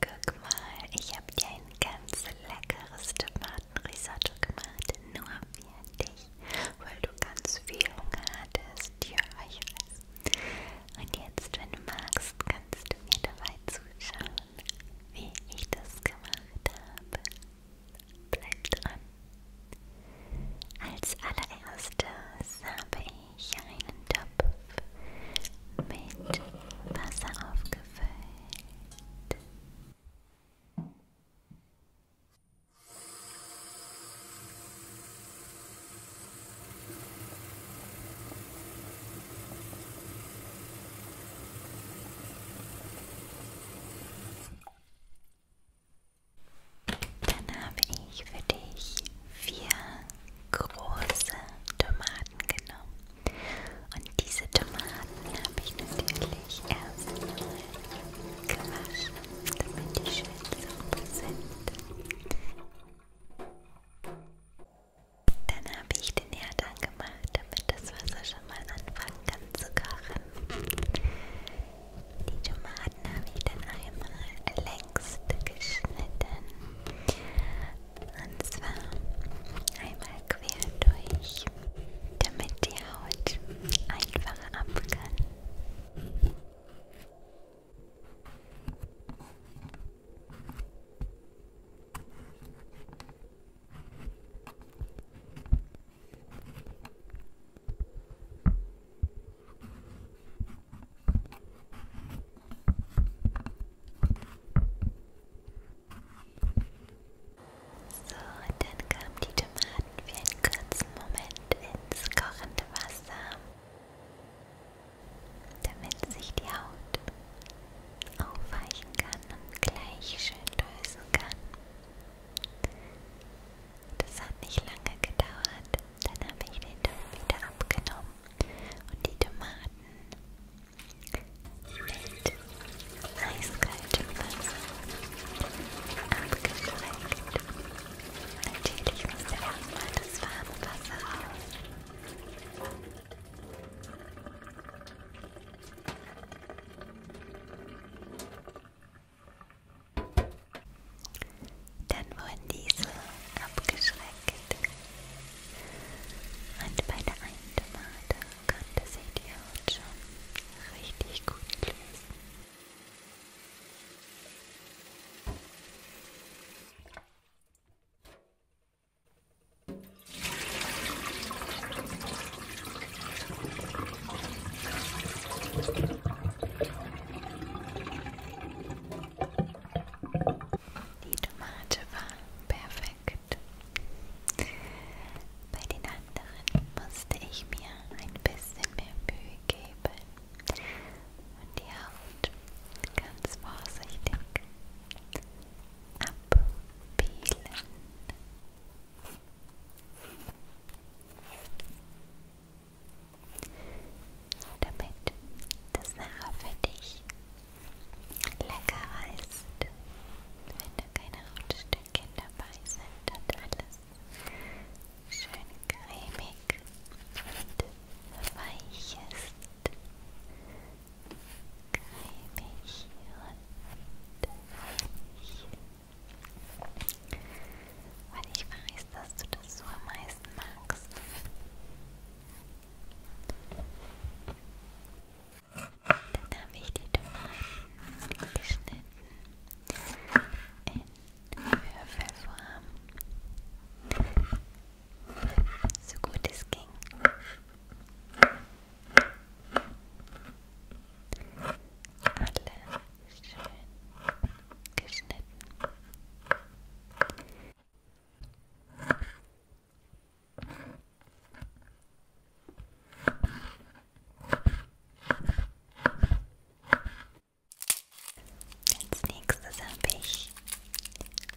Guck mal, ich habe dir ein ganz leckeres Tomatenrisotto gemacht, nur für dich, weil du ganz viel Hunger hattest. Ja, ich weiß. Und jetzt, wenn du magst, kannst du mir dabei zuschauen, wie ich das gemacht habe. Bleib dran. Als allererstes habe ich ich einen Topf mit Wasser aufgefüllt. Dann habe ich für dich vier große Tomaten genommen. Und diese Tomaten habe ich natürlich erstmal gewaschen, damit die schön sauber sind. Dann habe ich den Herd angemacht, damit das Wasser schon mal anfangen kann zu kochen. Die Tomaten habe ich dann einmal länger Text geschnitten. Und zwar einmal quer durch, damit die Haut einfach ab kann. Und so, und dann kamen die Tomaten für einen kurzen Moment ins kochende Wasser, damit sich die Haut aufweichen kann und gleich schön lösen kann. Das hat nicht lange gedauert, dann habe ich den Topf wieder abgenommen und die Tomaten mit eiskaltem Wasser abgestreckt. Natürlich musste erstmal das warme Wasser raus. Dann wurden diese abgeschreckt. Und bei der einen Tomate konnte sich die Haut schon richtig gut lösen. Die Tomate war perfekt. Bei den anderen musste ich mir ein bisschen mehr Mühe geben und die Haut ganz vorsichtig abpielen damit das nachher für dich leckerer ist. Wenn da keine Hautstückchen dabei sind und alles schön cremig und weich ist. Cremig und weich. Weil ich weiß, dass du das so am meisten magst. Dann habe ich die Tomaten geschnitten in Würfelform. So gut es ging. Alle schön geschnitten. Als nächstes habe ich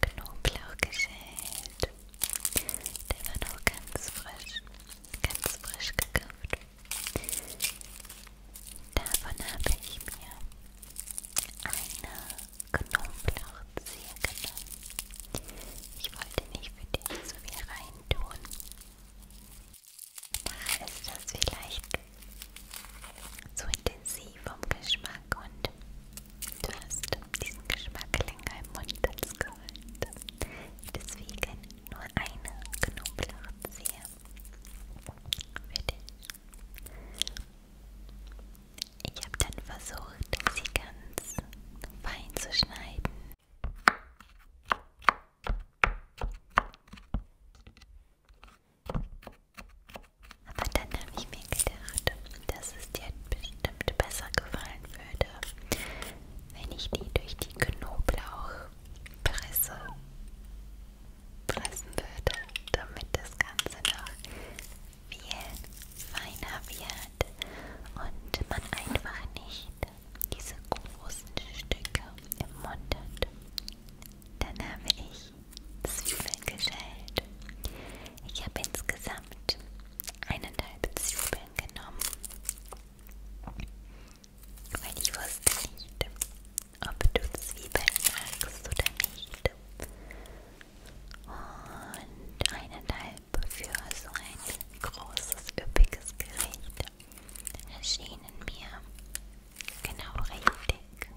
Knoblauch geschält. Der war noch ganz frisch. Ganz frisch gekauft. Davon habe ich mir eine Knoblauchzehe genommen. Ich wollte nicht für dich so viel reintun. Nachher ist das vielleicht zu intensiv vom Geschmack und du hast diesen Geschmack länger im Mund als geholt. Deswegen nur eine Knoblauchzehe für dich. Ich habe dann versucht, sie ganz fein zu schneiden. Aber dann habe ich mir gedacht, dass es dir bestimmt besser gefallen würde, wenn ich die durch die Knoblauchpresse pressen würde, damit das Ganze noch viel feiner wird und man einfach nicht diese großen Stücke im Mund hat. Dann habe ich Zwiebeln geschält. Ich habe insgesamt eineinhalb Zwiebeln genommen, weil ich wusste nicht, ob du Zwiebeln magst oder nicht. Und eineinhalb für so ein großes, üppiges Gericht erschienen mir genau richtig.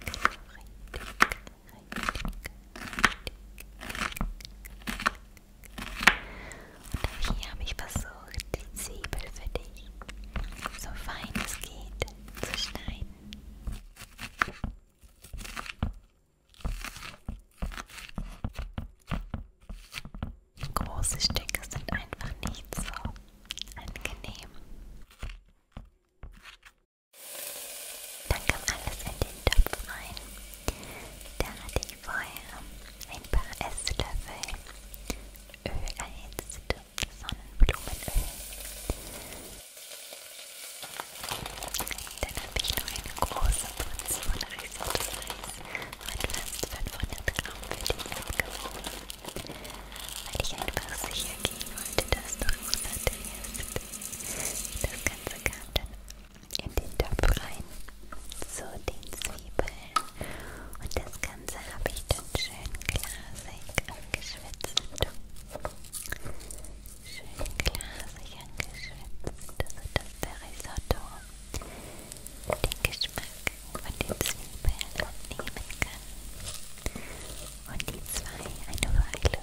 Genau richtig. Und hier habe ich versucht, die Zwiebel für dich so fein es geht zu schneiden. Große Stücke sind einfach nicht so angenehm. Dann kam alles in den Topf rein. Da hatte ich vorher ein paar Esslöffel Öl erhitzt, Sonnenblumenöl. Dann habe ich noch eine große Portion Risotto Reis mit fast 500 Gramm für die abgewogen, weil ich einfach sicher gehen wollte, dass du Risotto isst. Das Ganze kam dann in den Topf rein, zu den Zwiebeln. Und das Ganze habe ich dann schön glasig angeschwitzt. Schön glasig angeschwitzt, sodass der Risotto den Geschmack von den Zwiebeln annehmen kann. Und die zwei eine Weile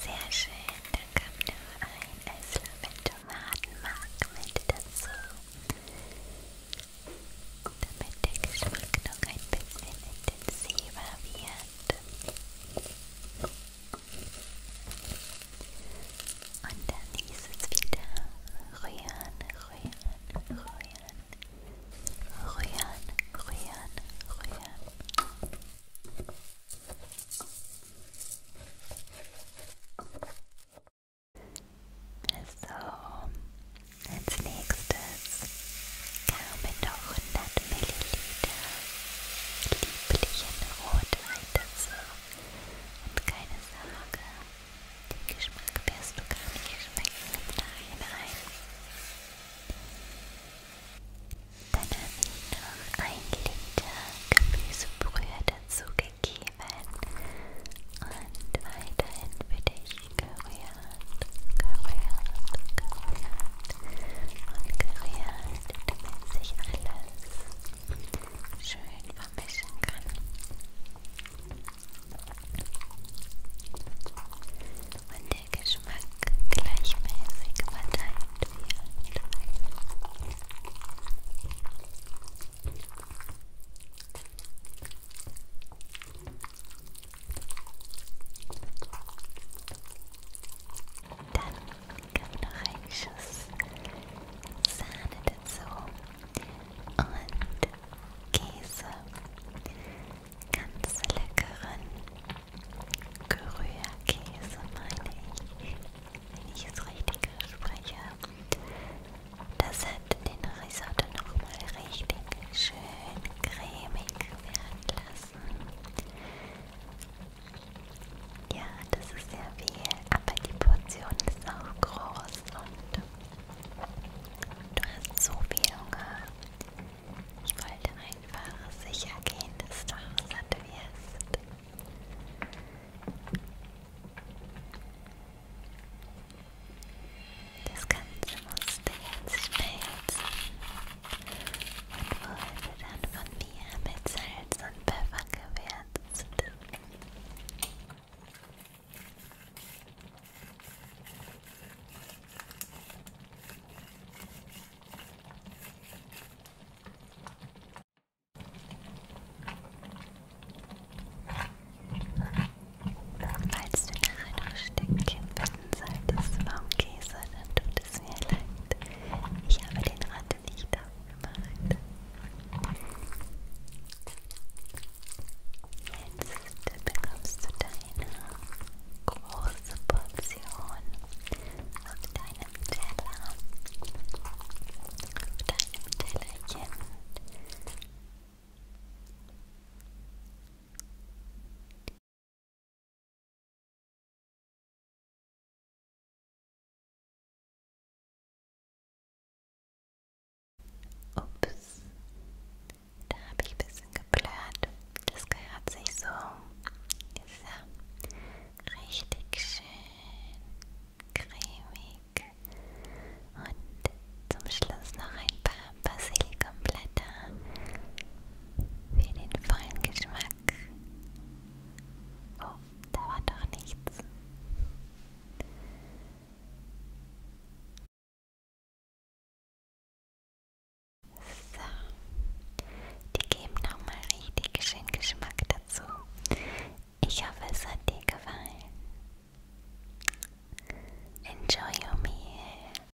Sehr schön, dann kam nur ein Esslöffel Tomatenmark mit dazu, damit der Geschmack noch ein bisschen intensiver wird. Und dann hieß es wieder rühren, rühren, rühren rühren, rühren, rühren. So, als nächstes kamen noch 100 Milliliter lieblichen Rotwein dazu. Und keine Sorge, den Geschmack wirst du gar nicht schmecken, im Nachhinein. Dann habe ich noch ein Liter Gemüsebrühe dazugegeben und weiterhin für dich gerührt, gerührt, gerührt und gerührt, damit sich alles schön vermischen kann und der Geschmack gleichmäßig verteilt wird. Dann kommt noch ein Schuss Sahne dazu und Käse, ganz leckeren Grührkäse meine ich, wenn ich es richtig spreche. Das hat den Risotto nochmal richtig schön cremig werden lassen. Ja, das ist sehr viel, aber die Portion ist auch groß und Du hast so viel Hunger. Ich wollte einfach sicher gehen, dass du auch satt wirst. Das Ganze musste jetzt schmelzen und wurde dann von mir mit Salz und Pfeffer gewürzt. Falls du nachher noch Stückchen bitten solltest, Baumkäse, dann tut es mir leid. Ich habe den Ratte nicht dabei. mind. Jetzt bekommst du deine große Portion auf deinem Teller, auf deinem Tellerchen. Ups, da habe ich ein bisschen geblurrt. Das gehört sich so. So, richtig schön cremig. Und zum Schluss noch ein paar Basilikumblätter für den vollen Geschmack. Oh, da war doch nichts. So, die geben nochmal richtig schön Geschmack dazu. Ich hoffe, es hat dir gefallen. Enjoy your meal.